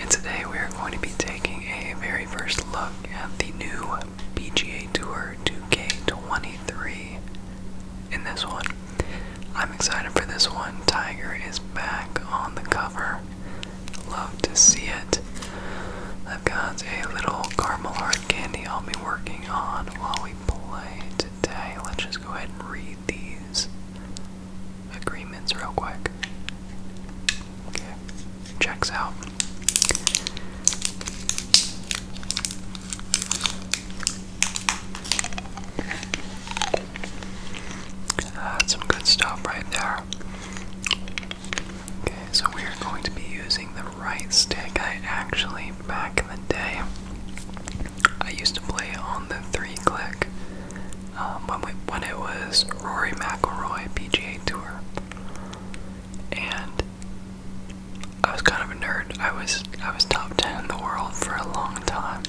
And today we are going to be taking a very first look at the new PGA Tour 2K23. In this one, I'm excited for this one. Tiger is back on the cover. Love to see it. I've got a little caramel hard candy I'll be working on while we play today. Let's just go ahead and read these agreements real quick. Okay, checks out. That's some good stuff right there. Okay, so we are going to be using the right stick. I actually, back in the day, I used to play on the three click um, when, it was Rory McIlroy PGA Tour, and I was kind of a nerd. I was I was top ten in the world for a long time,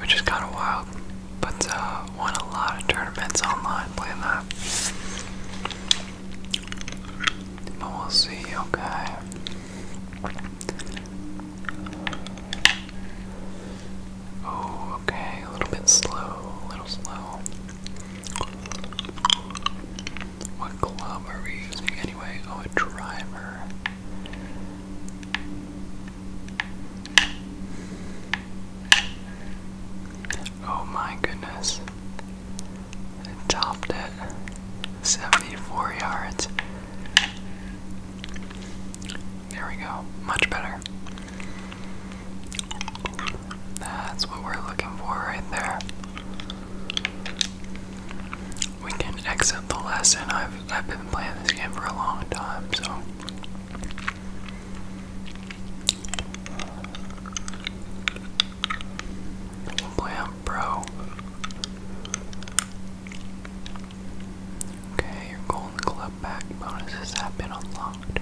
which is kind of wild. But uh, won a lot of tournaments online playing that. But we'll see. Okay. Oh, okay, a little bit slow, a little slow. What club are we using anyway? Oh, a driver. Oh my goodness. It topped at 74 yards. There we go. Much better. That's what we're looking for right there. We can exit the lesson. I've I've been playing this game for a long time, so play on pro. Okay, your Golden Club back bonuses have been unlocked.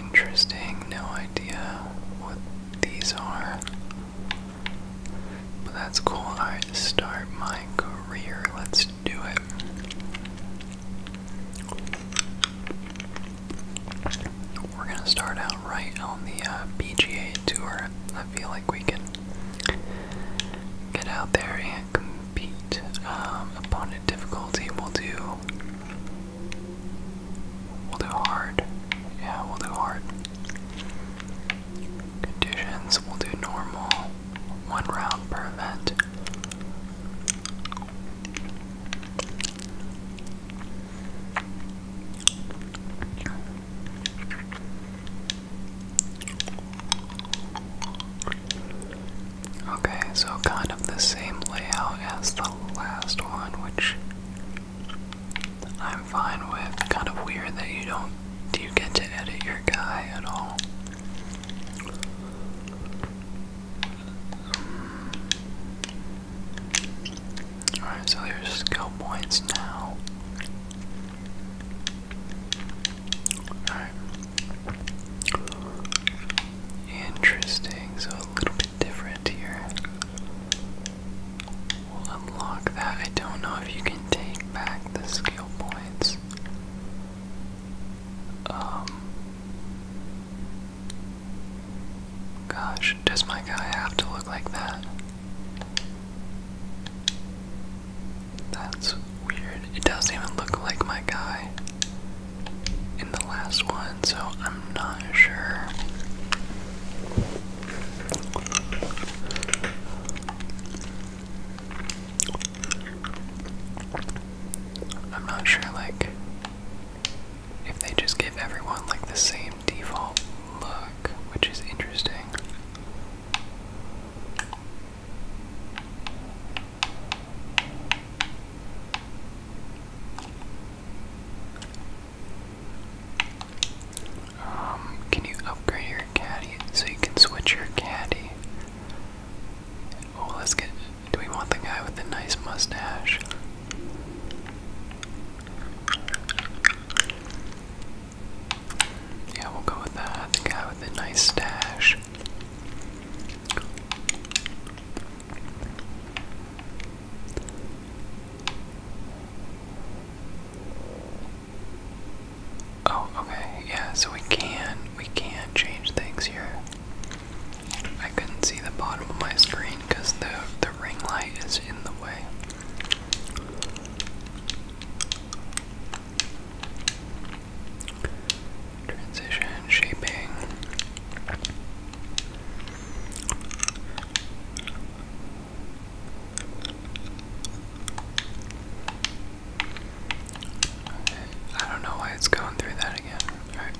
Interesting, no idea what these are. But that's cool. Alright, start my career. Let's do it. We're going to start out right on the uh, PGA Tour. I feel like we can get out there and compete. Um, opponent difficulty, we'll do. We'll do hard. Yeah, we'll do hard. Conditions, we'll do normal. One round per event. Okay, so kind of the same layout as the last one, which I'm fine with. Kind of weird that you don't do you get to edit your guy at all. Alright, so there's skill points now. Alright. Interesting, so a little bit different here. We'll unlock that. I don't know if you can take back the skill points. Um Gosh, does my guy have to look like that? That's weird. It doesn't even look like my guy in the last one, so I'm not sure. I'm not sure, like, if they just give everyone like the same default look, which is interesting. Um, can you upgrade your caddy so you can switch your caddy? Oh, let's get. Do we want the guy with the nice mustache? Yeah, we'll go with that. The guy with the nice stash. Oh, okay, yeah, so we can, we can change things here. I couldn't see the bottom of my screen because the the ring light is in the way. Transition shaping. Okay. I don't know why it's going through that again. All right.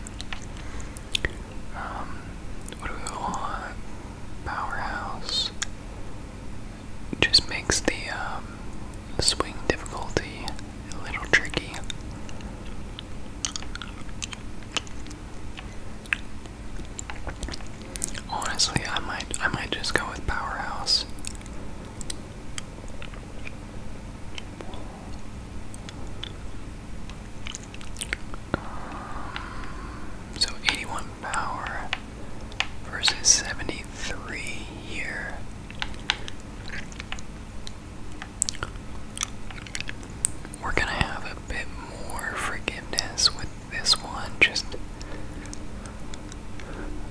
Um, what do we want? Powerhouse. Just makes um, the swing difficulty a little tricky. Honestly, I might I might just go with powerhouse. Um, so 81 power versus 73 here. We're gonna have a bit more forgiveness with this one, just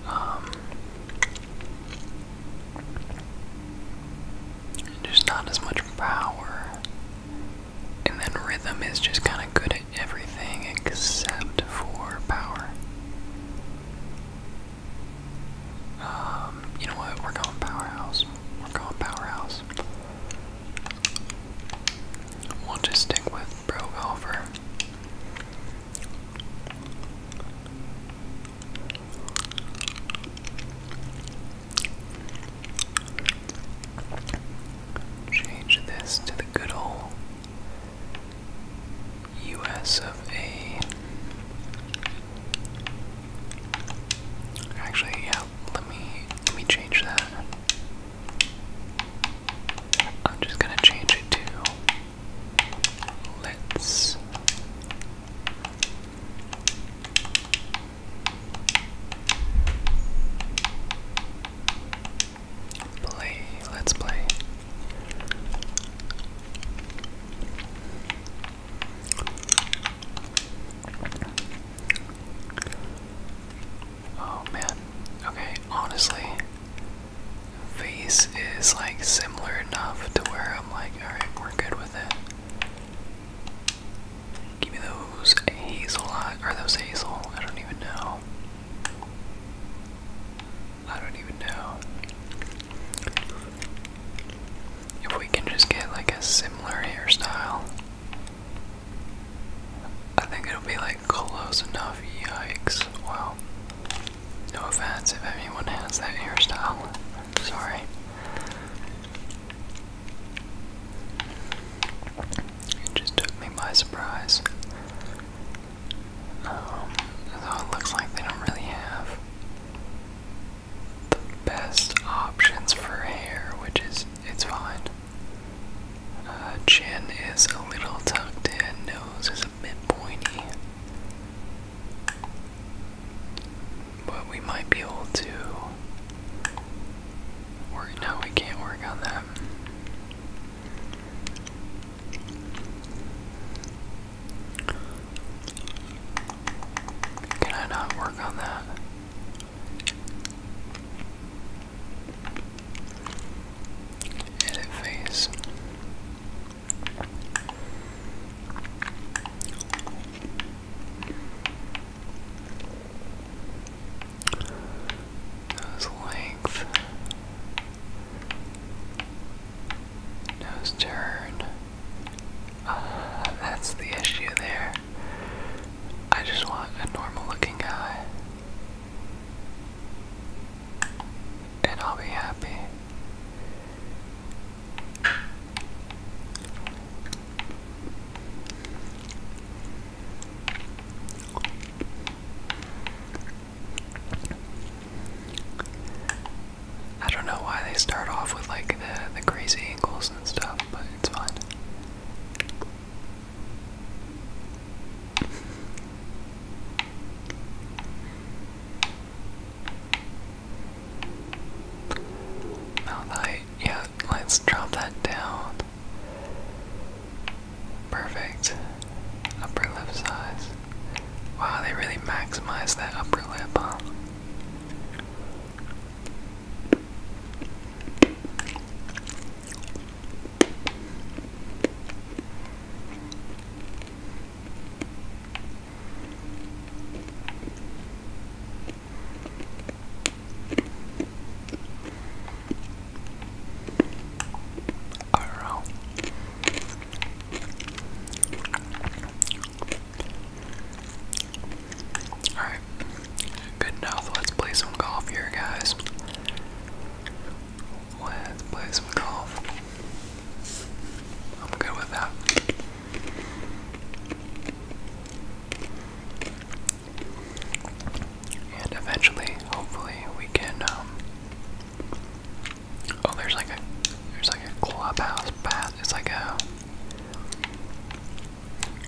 um just not as much power. And then rhythm is just kind of good at everything except for power. Um, you know what? We're going powerhouse. We're going powerhouse. We'll just stick with Bro Golfer. Change this to the good old US of A. Actually, yeah, let me let me change that. I'm just gonna change it to let Play, let's play. Oh man. Okay, honestly, face is like similar enough to where I'm like, alright, we're good with it. Give me those hazel or those hazel. I don't even know. I don't even know. If we can just get like a similar hairstyle, I think it'll be like close enough. Yikes. Wow. No offense if anyone has that hairstyle. Sorry. It just took me by surprise. Um, it looks like they don't really have the best options for hair, which is, it's fine. Uh, chin is a little tucked in, nose is a bit pointy. But we might be able to work no, we can't work on that. Can I not work on that? Edit phase. Nose length. Nose turn. Uh, that's the issue there. I just want a normal looking guy. And I'll be happy. I don't know why they start off with like the the crazy angles and stuff, but it's fun. Mount yeah, let's drop that down. Perfect. Upper lip size. Wow, they really maximize that upper lip, Arrow. Alright, good enough. Let's play some golf here, guys. Let's play some golf. I'm good with that. And eventually, hopefully, we can. Um, oh, there's like a there's like a clubhouse path. It's like a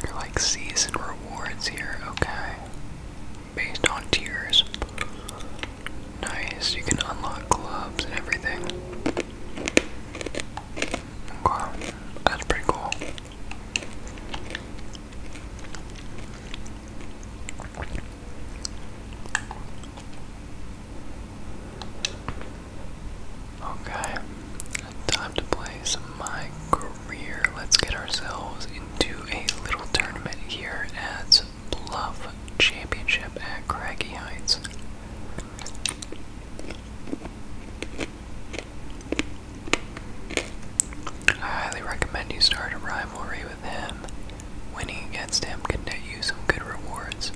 you're like season rewards here. Okay, based on tiers. Nice. You can unlock clubs and everything. Okay, that's pretty cool. Okay, time to play some My Career. Let's get ourselves into a little tournament here at Bluff Championship at Craggy Heights. I highly recommend you start a rivalry with him. Winning against him could net you some good rewards.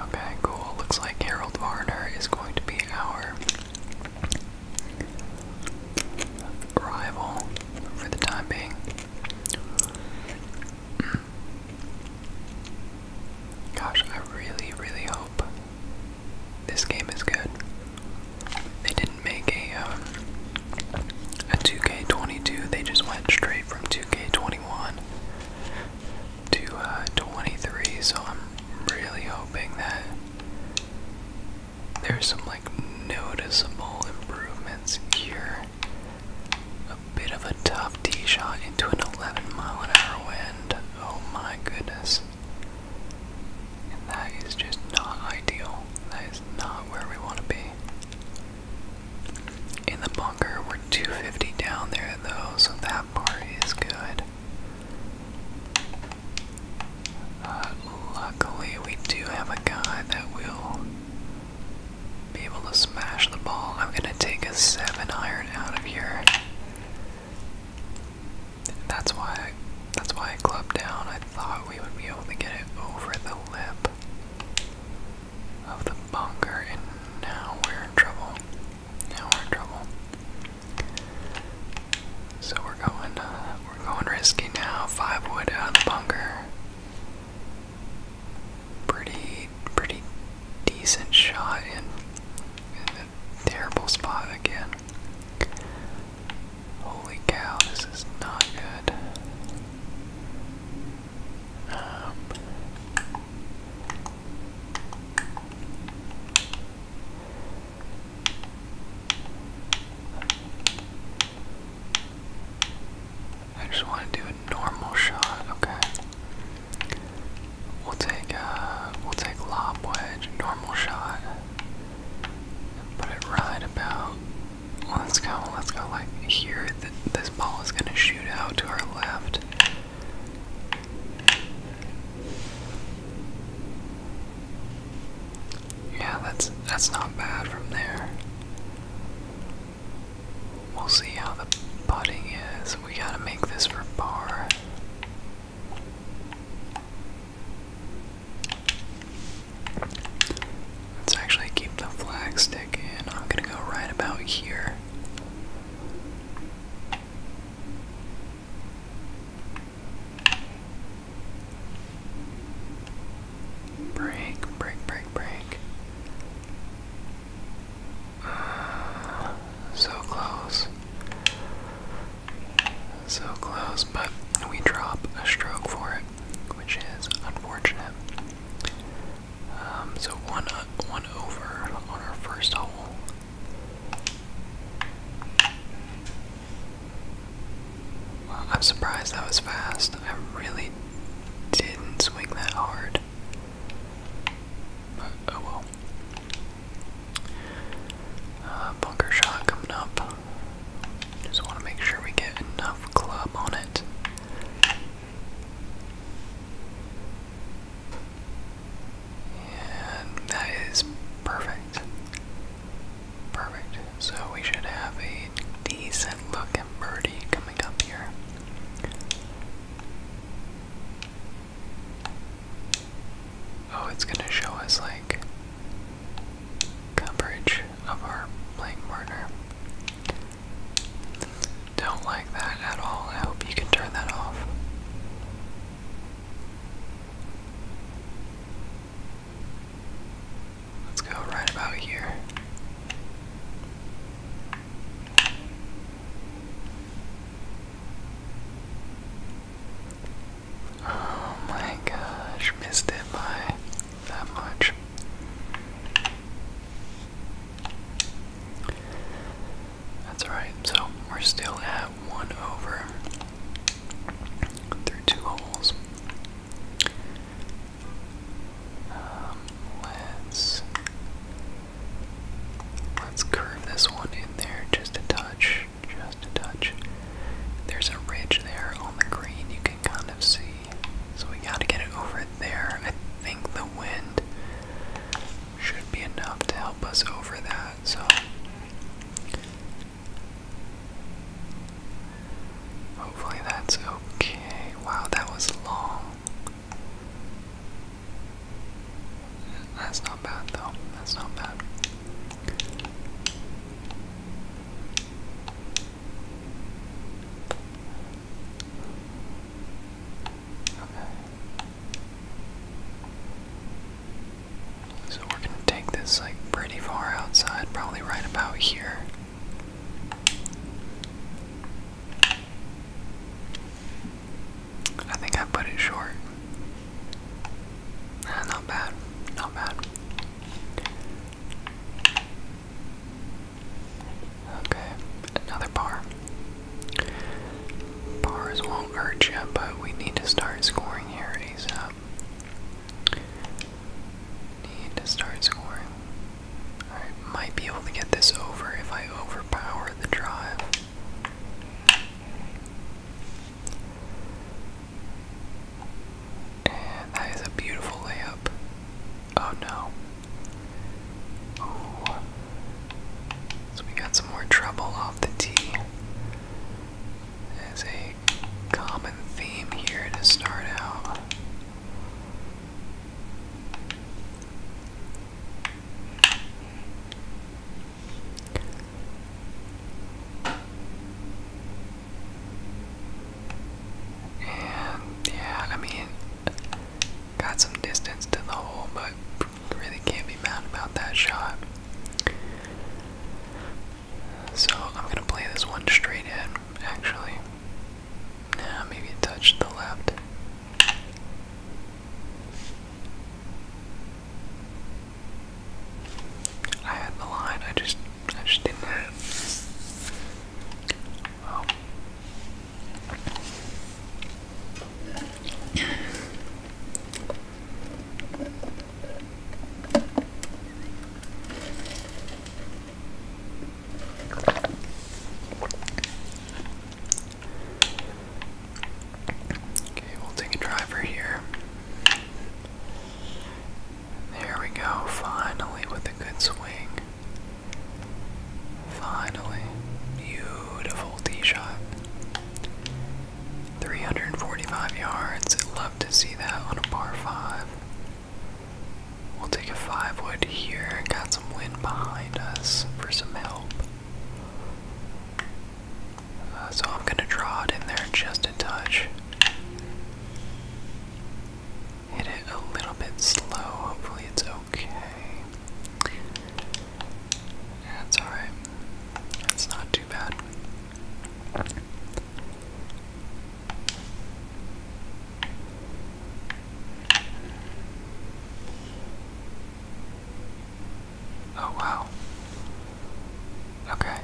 Okay, cool. Looks like Harold Varner is going to be our rival for the time being. Gosh, I really, really hope this game is good. They didn't make a um, a 2K22. They just went straight from 2K21 to uh, 23. So I'm really hoping that there's some like noticeable improvements here. A bit of a tough tee shot into an 11 mile an hour wind. Oh my goodness. And that is just not ideal. That is not where we want to be. In the bunker, we're 250 down there though, so that part is good. Uh, luckily, we do have a guy that will be able to smash the ball. I'm going to take a 7 iron out of here. That's why that's why I clubbed down. I thought we would be able to get it over the lip of the bunker and now we're in trouble. Now we're in trouble. So we're going we're going risky now. Five wood out of the bunker. Pretty pretty decent shot and a terrible spot again. Holy cow, this is not good. Um, I just want to do a normal shot, okay. We'll take a uh, we'll take lob wedge, normal shot, put it right about. Let's go, let's go like here. this ball is gonna shoot out to our left. Yeah, that's that's not bad from there. We'll see how the putting is. So we gotta make this for bar. Let's actually keep the flag stick in. I'm gonna go right about here. Break, break, break, break. so close. So close, but we drop a stroke for it, which is unfortunate. Um, so one uh, one over on our first hole. I'm surprised that was fast. I really didn't swing that hard. oh well. Uh, bunker shot coming up. Just want to make sure we get enough club on it. And that is perfect. Perfect. So we should have a decent look at birdie coming up here. Oh, it's going to show us like coverage of our playing partner. Don't like that at all. I hope you can turn that off. Let's go right about here. Oh my gosh, missed it by that much. That's alright, so we're still at one over through two holes. Um, let's Let's curve this one in there just a touch, just a touch. There's a ridge there on the green you can kind of see. So we gotta get it over there. I think the wind should be enough to help us over that, so hopefully that's okay. Wow, that was long. That's not bad though. That's not bad. Okay. So we're gonna take this like pretty far outside, probably right about here. I think I put it short. not bad. Not bad. Okay, another bar. Bars won't hurt you, but we need to start scoring here ASAP. Need to start scoring. Alright, might be able to get this over if I overpower the drive that is a beautiful layup. Oh no. So we got some more trouble off the tee. As a common theme here to start out yeah, I mean, got some distance to the hole, but really can't be mad about that shot. So I'm going to play this one straight in, actually. Nah, maybe touch the left. I had the line, I just I just didn't have Okay, we'll take a driver here. There we go, finally with a good swing. Finally. Beautiful tee shot. 345 yards. Love to see that on a par 5. We'll take a 5 wood here. Got some wind behind us for some help. Uh, so I'm going to draw it in there just a touch. Hit it a little bit slow. Hopefully, it's okay. That's alright. That's not too bad. Oh wow. Okay,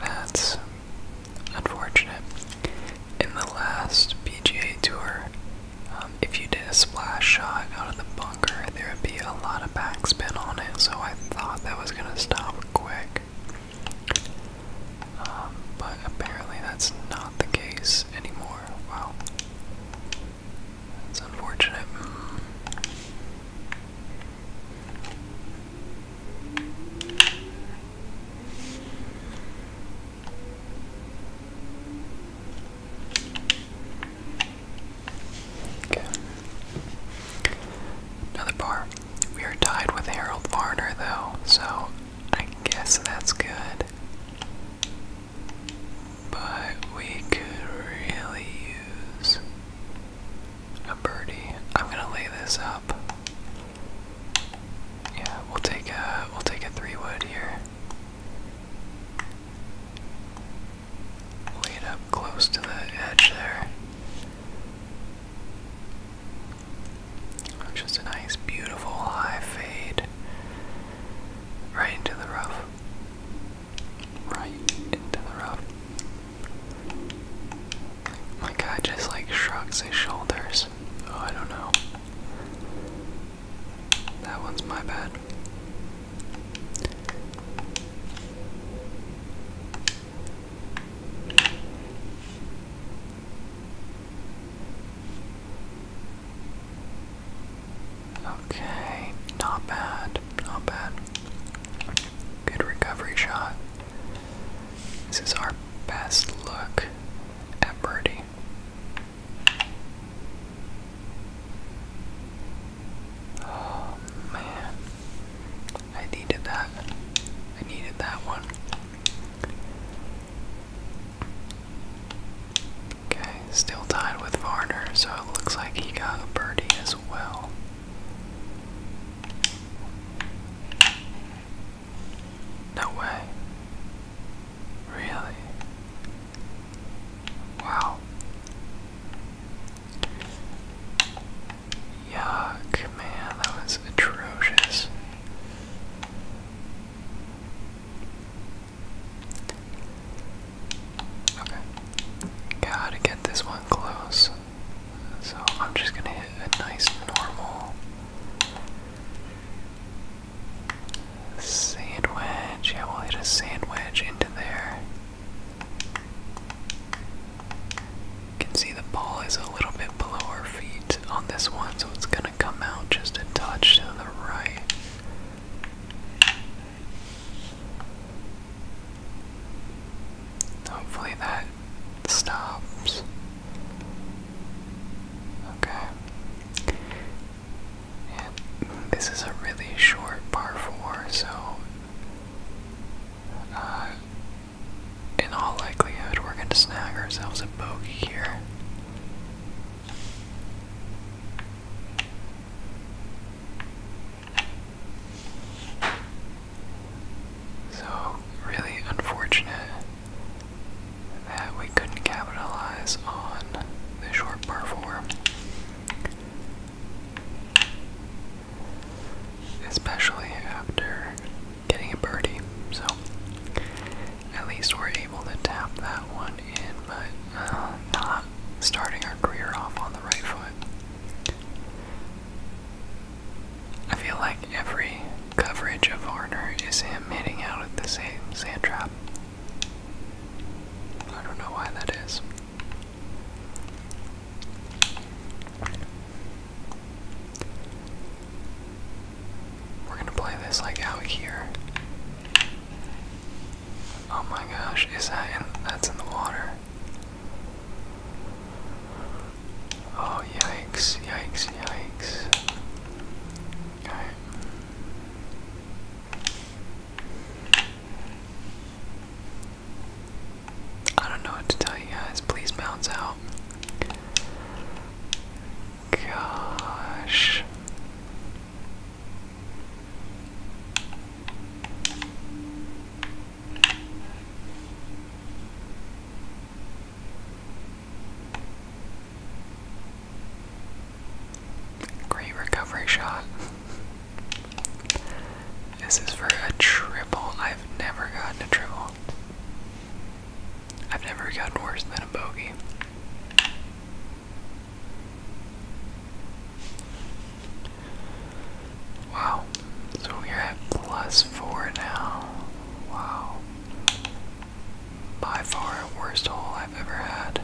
that's unfortunate. In the last PGA Tour, um, if you did a splash shot out of the bunker, there would be a lot of backspin on it, so I thought that was gonna stop quick. Um, but apparently that's not the case anymore. Wow. It's unfortunate. Okay. Another bar. We are tied with Harold Varner, though, so I guess that's good. But we could really use a birdie. I'm gonna lay this up. Yeah, we'll take a we'll take a three wood here. Lay it up close to the edge there. Just a nice, beautiful high fade right, into the rough, right into the rough. My guy just like shrugs his shoulders. Oh, I don't know. That one's my bad. Okay, not bad, not bad. Good recovery shot. This is our best look at birdie. Oh man, I needed that. I needed that one. Okay, still tied with Varner, so it looks like he got a birdie as well. No way. Really? Wow. Yuck, man, that was atrocious. Okay. Gotta get this one close. So I'm just gonna hit a nice normal sandwich. Yeah, we'll hit a sandwich into there. You can see the ball is a little bit below our feet on this one, so it's gonna come out just a touch to the right. Hopefully that stops. Okay. And this is a really short par 4, so uh, in all likelihood, we're going to snag ourselves a bogey here. So, really unfortunate that we couldn't capitalize on the short par four. Especially after getting a birdie. So, at least we're able to tap that one in, but uh, not starting our career off on the right foot. I feel like every coverage of Varner is him hitting out at the same sand trap. I don't know why that is. We're gonna play this like out here. Oh my gosh, is that in that's in the water? Oh yikes, yikes, yikes. Alright. I don't know what to tell you guys. Please bounce out. Gosh. Great recovery shot. This is for a triple. I've never gotten a triple. I've never gotten worse than a bogey. Wow. So we're at plus four now. Wow. By far the worst hole I've ever had.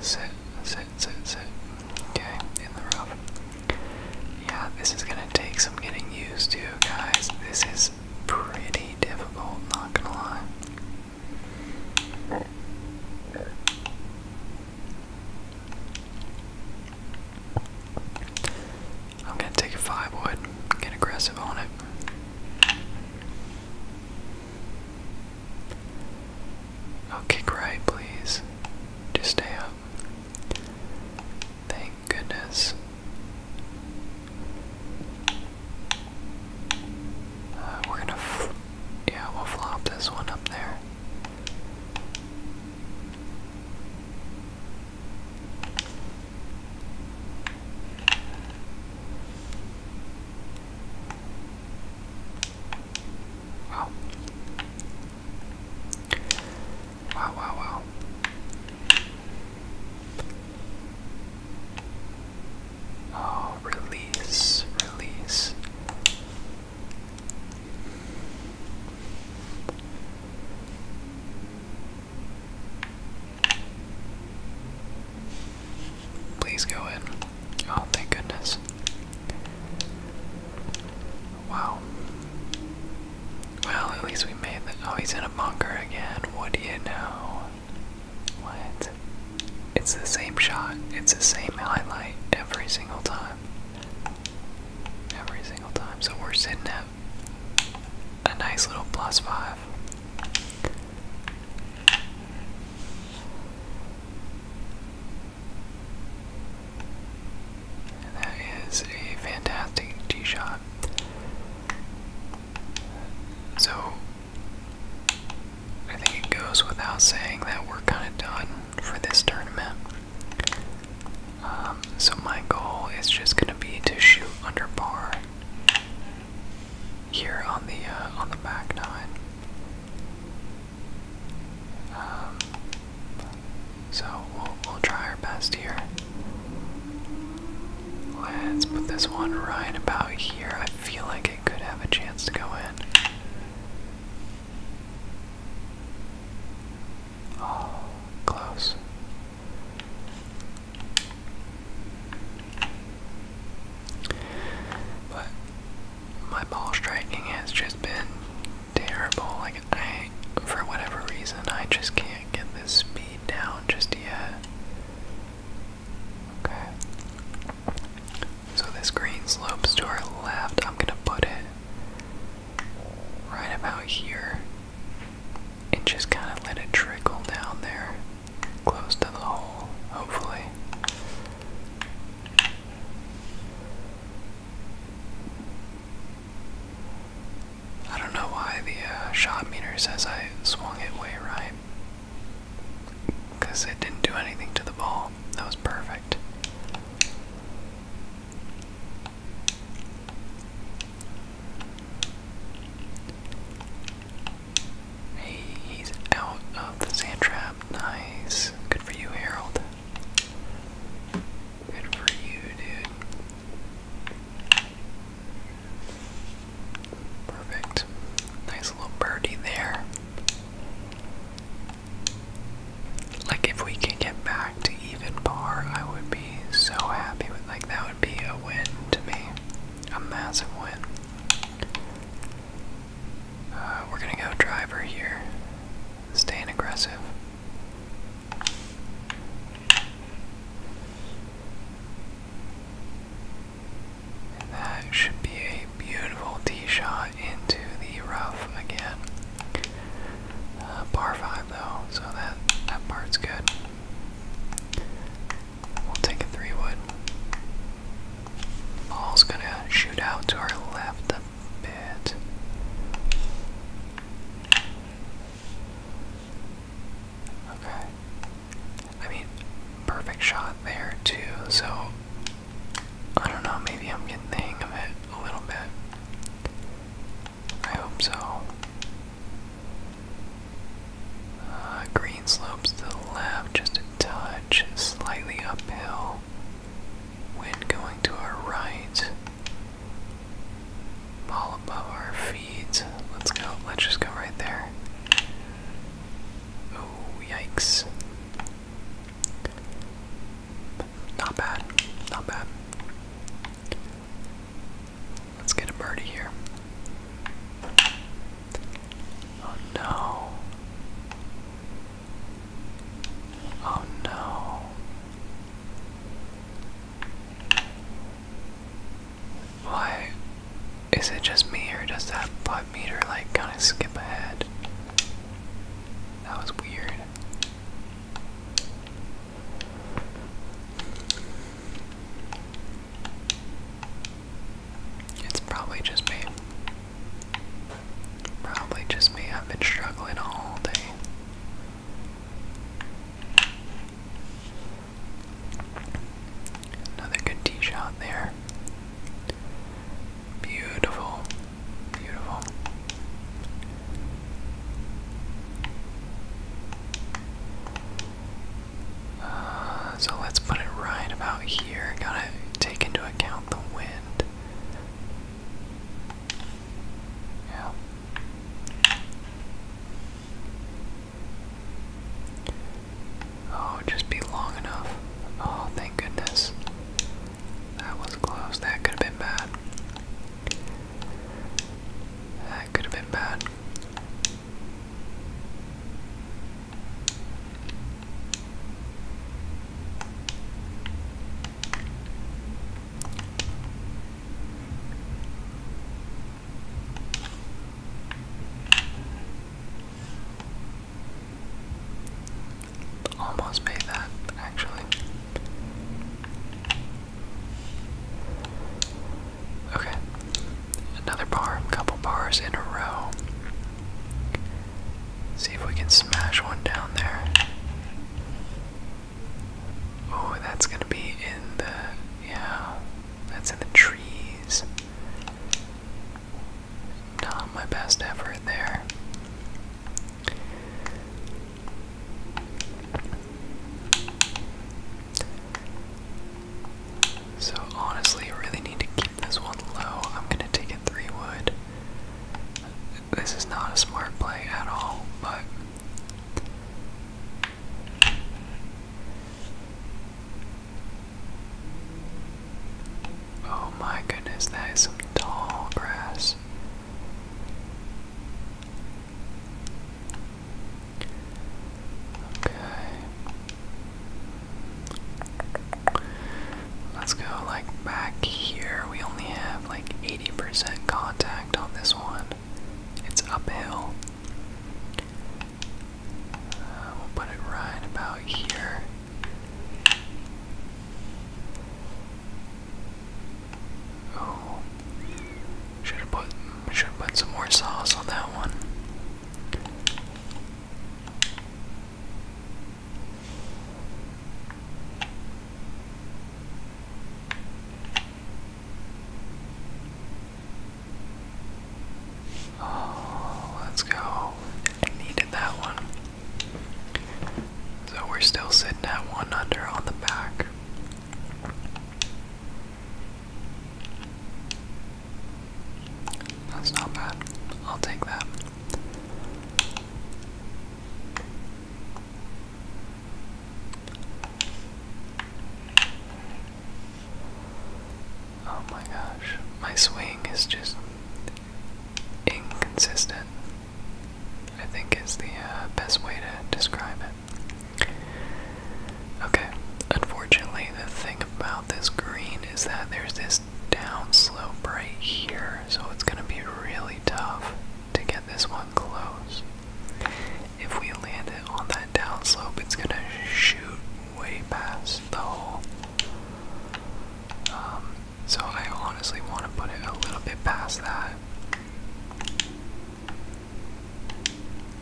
Sit, sit, sit, sit. Okay, in the rough. Yeah, this is gonna take some getting used to, guys. This is pretty difficult, not gonna lie. I'm gonna take a five wood, get aggressive on it. Oh, kick right, please. Just stay up. Thank goodness. Uh, we're gonna, yeah, we'll flop this one up there. Wow. Wow, wow, wow. Oh, release, release. Please go in. Oh, thank goodness. Wow. Well, at least we made Oh, he's in a bunker again. What do you know? What? It's the same shot. It's the same highlight every single time. Every single time. So we're sitting at a nice little plus five. That is a fantastic tee shot. So, I think it goes without saying that we're kind of done for this tournament. Um, so, my goal is just going to be to shoot under par here on the uh, on the back nine. Um, so we'll, try our best here. Let's put this one right about here. I feel like it could have a chance to go in. Oh, close. But my ball striking has just been terrible for whatever reason, I just can't get this speed down just yet. Okay. So this green slopes to our left. I'm gonna put it right about here and just kind of let it trickle down there, close to the hole, hopefully. I don't know why the uh, shot meter says I swung it way right. Because it didn't do anything to the ball. That was perfect. he's out of the sand trap. Nice. Good for you, Harold. Good for you, dude. Perfect. Nice little birdie there. Like if we can get back to even par, I would be so happy with like that would be a win to me. A massive win. Uh, we're gonna go driver here. Staying aggressive that should be a beautiful tee shot into the rough again. Uh, par 5 though, so that, that part's good. We'll take a 3 wood. Ball's gonna shoot out to our left a bit. Okay. I mean, perfect shot there, too, so I don't know, maybe I'm getting the hang of it a little bit. I hope so. Uh, green slopes to the left, just a touch, slightly uphill. Wind going to our right. All above our feeds. Let's go. Let's just go right there. Oh, yikes. Not bad. Not bad. Let's get a birdie here. Oh no. Oh no. Why is it just me or does that butt meter like kind of skip ahead? That was weird. It's probably just me. Probably just me. I've been struggling all day. Another good tee shot there. Beautiful. Beautiful. Uh, so let's put it right about here. Gotta take into account the wind. Oh. just be long enough. Oh, thank goodness. That was close. That could have been bad. That could have been bad. Almost made that actually. Okay, another bar, couple bars in a row. See if we can smash one down there. Oh, that's gonna be in the yeah, that's in the trees. Not my best effort there. So honestly, I really need to keep this one low. I'm gonna take a three wood this is not a smart play at all, but oh my goodness, that is some tall grass. Okay. Let's go like back here. We only have like 80% contact on this one. It's uphill. Uh, we'll put it right about here. Oh, should have put should have put some more sauce on that one. Oh, let's go. needed that one. So we're still sitting at one under on the back. That's not bad. I'll take that. Oh my gosh, my swing is just inconsistent. I think is the uh, best way to describe it. Okay, unfortunately, the thing about this green is that there's this downslope right here, so it's going to be really tough to get this one close. If we land it on that downslope, it's gonna shoot way past the hole. Um, so I honestly want to put it a little bit past that.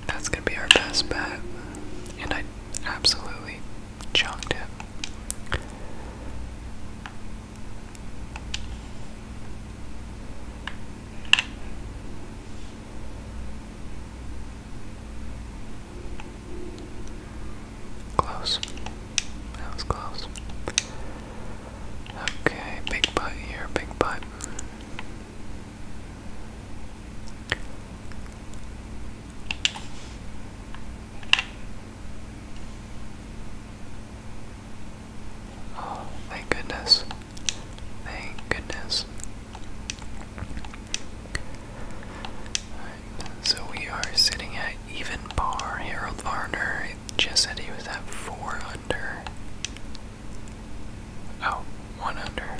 That's gonna be our best bet, and I absolutely chunked it. Close. That was close. Okay, big butt here, big butt. Oh, thank goodness. Thank goodness. so we are sitting at even par. Harold Varner just said he was at 4 under. Oh, under.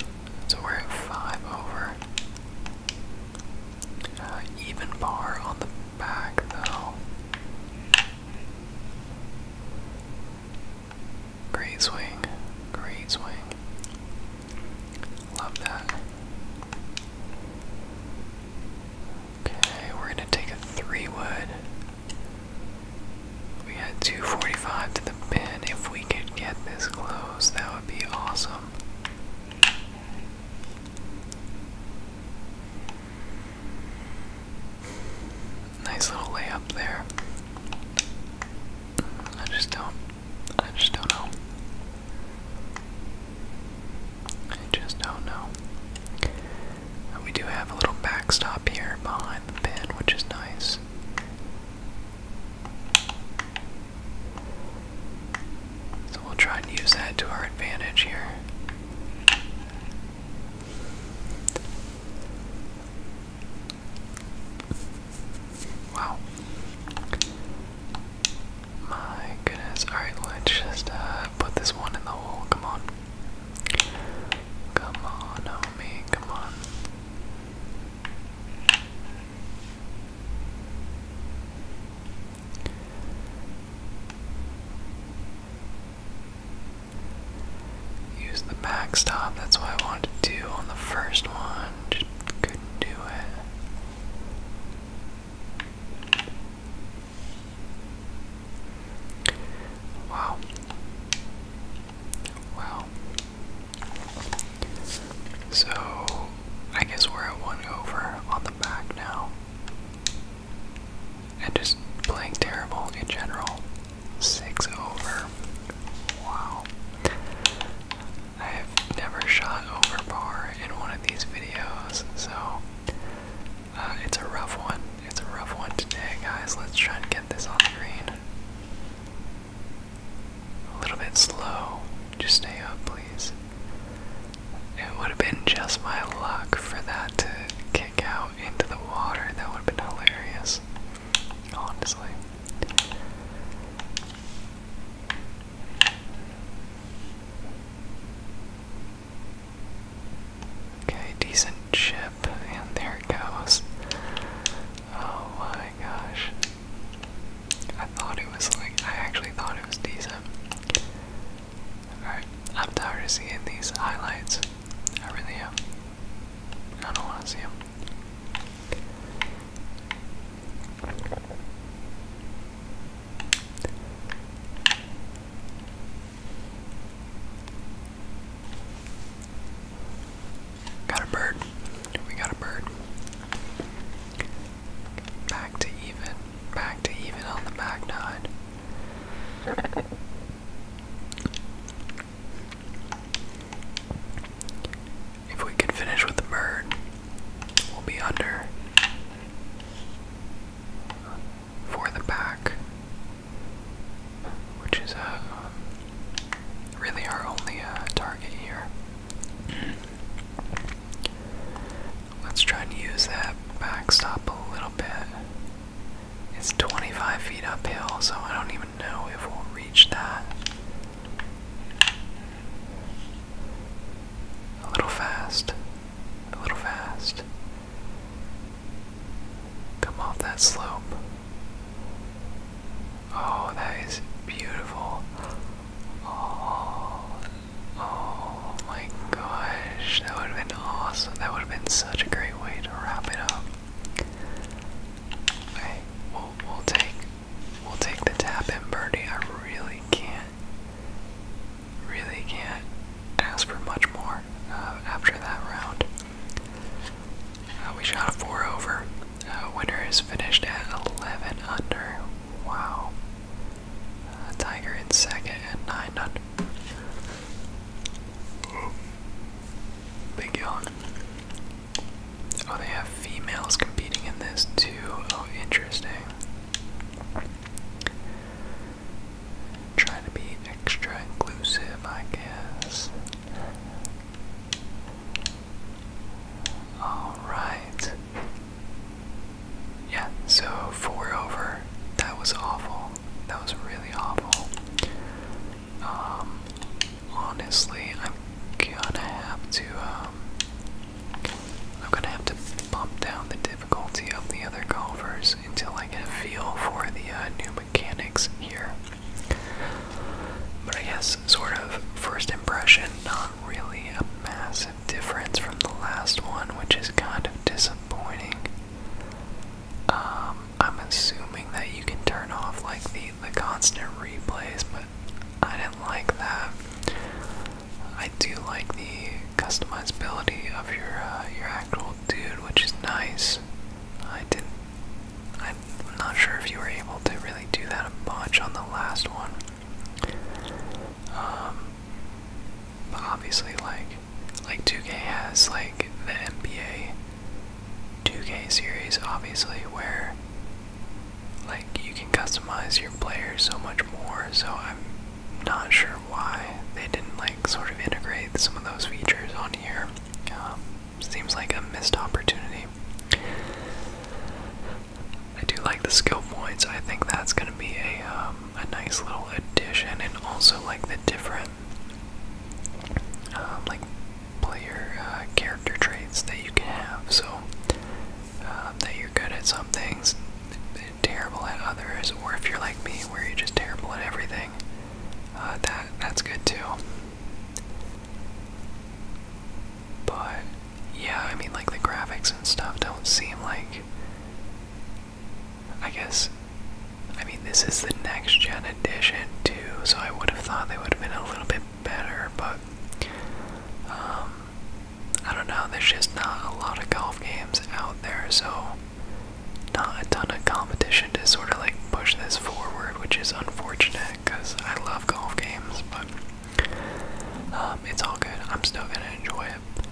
So we're at 5 over. Uh, even par on the back though. Great swing. Great swing. Love that. Okay, we're gonna take a three wood. We had 245 to the pin. If we could get this close, that would be awesome. Nice little layup there. I just don't. I just don't know. I just don't know. We do have a little backstop here behind the pin, which is nice. So we'll try and use that to our advantage here. Wow. My goodness. Alright, let's just uh, put this one in the hole. Come on. Come on, homie. Come on. Use the backstop, that's what I wanted to do on the first one. Just couldn't do it. Wow. Wow. So I guess we're at one over on the back now and just playing terrible in general. Six over. Wow. I have never shot over par in one of these videos, so uh, it's a rough one. It's a rough one today, guys. Let's try and get this on the green. A little bit slow. Just stay up, please. It would have been just my luck for that to out into the water. That would have been hilarious. Honestly. Okay, decent chip, and there it goes. Oh my gosh. I thought it was like, I actually thought it was decent. Alright, I'm tired of seeing these highlights. I really am. I don't want to see them. Got a bird. We got a bird. Back to even. Back to even on the back if we can finish with the bird, we'll be under for the pack, which is uh, really our only uh, target here. Let's try and use that backstop a little bit. It's 25 feet uphill, so I don't even know if we'll reach that. A little fast. A little fast. Come off that slope. Oh, that is beautiful. Oh, oh, Oh my gosh, that would have been awesome. That would have been such a great way to wrap it up. we'll, take we'll take the tap in birdie. I really can't really can't ask for much more uh, after that round. Uh, we shot a four over. Uh, winner is finished at 11 under. Wow. Uh, Tiger in second at 9 under. Big yawn. Oh, they have females competing in this too. Oh, interesting. Trying to be extra inclusive, I guess. Alright. Yeah, so four over. That was awful. That was really awful. Um, honestly, I'm gonna have to, um, I'm gonna have to bump down the difficulty of the other golfers until I get a feel for the uh, new mechanics here. But I guess, sort of, first impression, not really a massive difference from the last one, which is kind of disappointing. Um, I'm assuming that you can turn off like the the constant replays, but I didn't like that. I do like the customizability of your uh, your actual dude, which is nice. I didn't. I'm not sure if you were able to really do that a bunch on the last one. Um, but obviously, like like 2K has like the NBA 2K series obviously where like you can customize your players so much more, so I'm not sure why they didn't like sort of integrate some of those features on here. Um, seems like a missed opportunity. I do like the skill points. I think that's going to be a um, a nice little addition, and also like the different um, like player uh, character traits that you can have. So um, that you're good at some things, terrible at others, or if you're like me, where you're just terrible at everything, uh, that that's good too. But yeah, I mean, like the graphics and stuff don't seem like I guess, I mean, this is the next gen edition too, so I would have thought they would have been a little bit better, but um, I don't know, there's just not a lot of golf games out there, so not a ton of competition to sort of like push this forward, which is unfortunate because I love golf games, but um, it's all good. I'm still gonna enjoy it.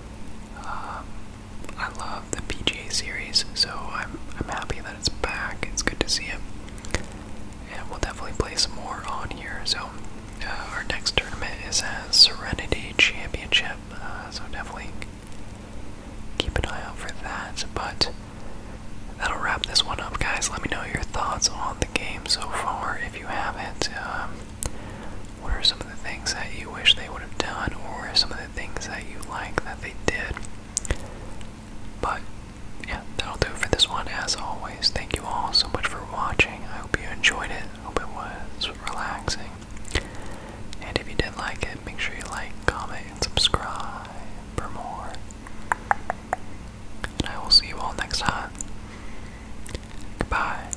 Um, I love the PGA series, so I'm I'm happy that it's back. It's good to see it, and we'll definitely play some more on here. So uh, our next tournament is at Serenity Championship, uh, so definitely keep an eye out for that. But that'll wrap this one up, guys. Let me know your thoughts on the game so far if you haven't. Um, what are some of the things that you wish they would have done, or some of the things that you like that they did? But yeah, that'll do it for this one. As always, thank you all so much for watching. I hope you enjoyed it. hope it was relaxing. And if you did like it, make sure you like, comment, and subscribe for more. And I will see you all next time. Goodbye.